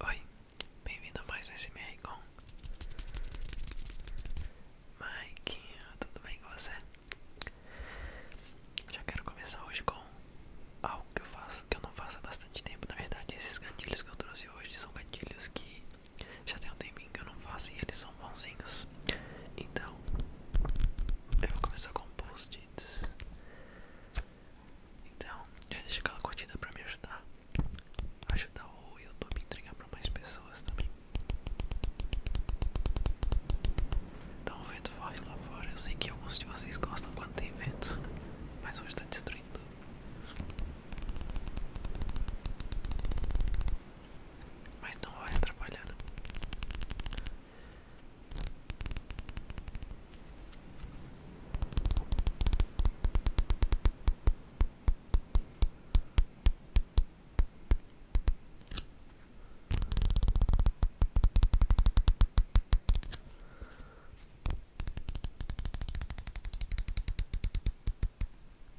Oi, bem-vindo a mais um SMR com Mike, tudo bem com você? Já quero começar hoje com algo que eu faço, que eu não faço há bastante tempo. Na verdade, esses gatilhos que eu trouxe hoje são gatilhos que já tem um tempinho que eu não faço e eles são bonzinhos. Então, eu vou começar com post-its. Então, já deixa aquela curtida pra me ajudar. Ajudar o YouTube a entregar pra mais pessoas também. então um vento forte lá fora. Eu sei que alguns de vocês gostam quando tem vento, mas hoje tá destruindo. Mas não vai atrapalhar.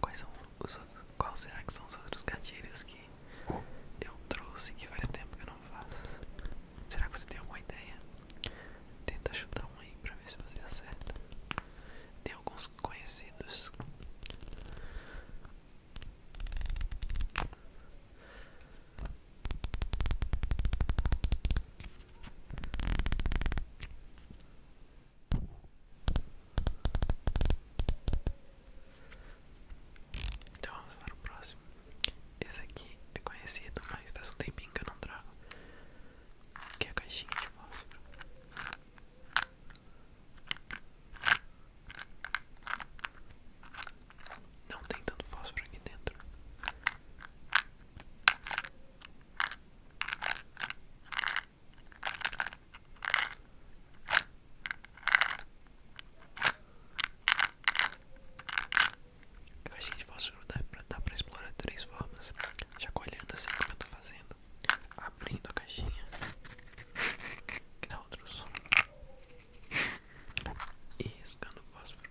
Quais são os outros? Qual será que são os outros gatilhos que eu trouxe que faz tempo que eu não faço? Será que você tem alguma ideia? Tenta chutar um aí pra ver se você acerta. Tem alguns conhecidos. Então vamos para o próximo. Esse aqui é conhecido, mas faz um tempinho que eu não trago. Que é a caixinha de fósforo. Não tem tanto fósforo aqui dentro a achei que fosse dá pra, dá pra explorar três formas já colhendo assim como eu tô fazendo Abrindo a caixinha Que dá outro som E riscando o fósforo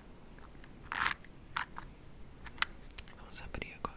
Vamos abrir agora.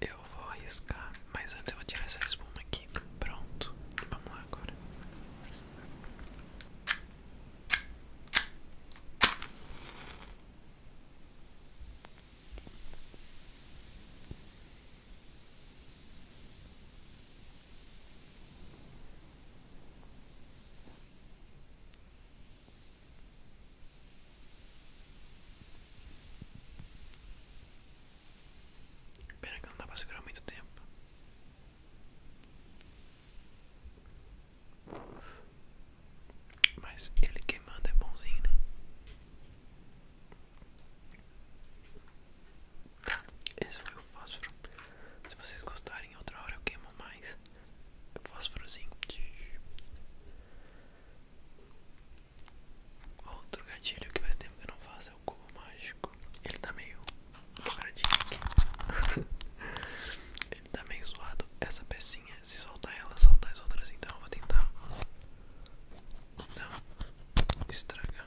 Eu vou arriscar, mas antes eu vou tirar essa espuma aqui. Pronto, vamos lá agora. Pena que não dá pra segurar muito tempo. Mas ele queimando é bonzinho, né? Esse foi o fósforo. Se vocês gostarem outra hora eu queimo mais fósforozinho. Outro gatilho que faz tempo que eu não faço é o cubo mágico. Ele tá meio quebradinho aqui. Ele tá meio zoado. Essa pecinha, se soltar ela, soltar as outras. Então eu vou tentar. Não, estraga.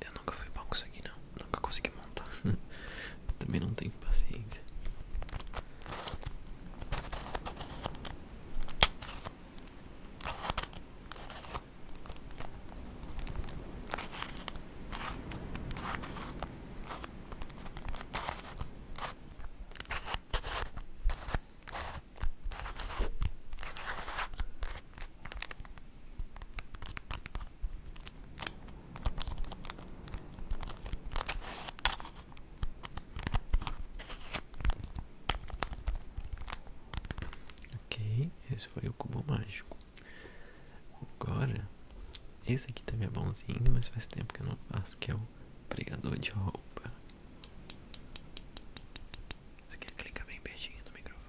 Eu nunca fui bom com isso aqui não, nunca consegui montar. Também não tenho paciência. Ok, esse foi o cubo mágico. Agora esse aqui também é bonzinho, mas faz tempo que eu não faço, que é o pregador de roupa. Você quer clicar bem pertinho no microfone?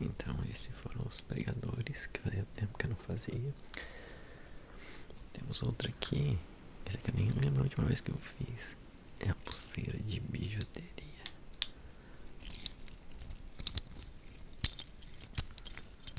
Então, esses foram os pregadores que fazia tempo que eu não fazia. Temos outro aqui. esse aqui eu nem lembro a última vez que eu fiz. É a pulseira de bijuteria.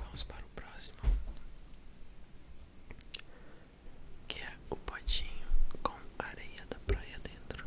Vamos para o próximo que é o potinho com areia da praia dentro.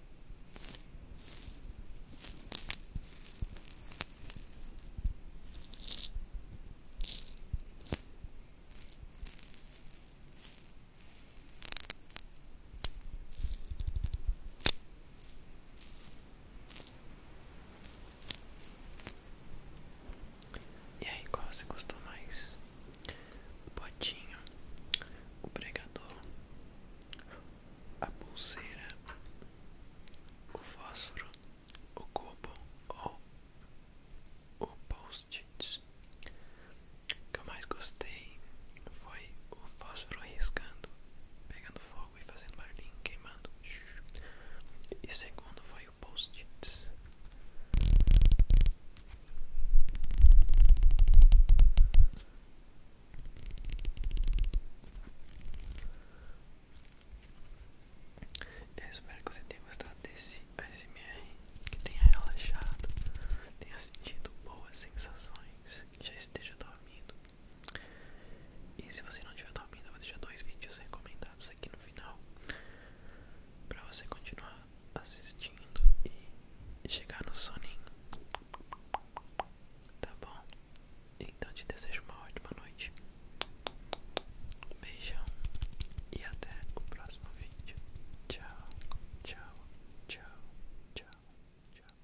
E aí, qual você gostou mais? O potinho, o pregador a pulseira, o fósforo, o cubo ou o post-it. O que eu mais gostei foi o fósforo riscando, pegando fogo e fazendo barulhinho, queimando. E segundo foi o post-it. Eu espero que você tenha gostado desse ASMR, que tenha relaxado, tenha sentido boas sensações, já esteja dormindo. E se você não estiver dormindo, eu vou deixar dois vídeos recomendados aqui no final, para você continuar assistindo e chegar no soninho. Tá bom? Então te desejo uma ótima noite. Beijão e até o próximo vídeo. Tchau, tchau, tchau, tchau, tchau.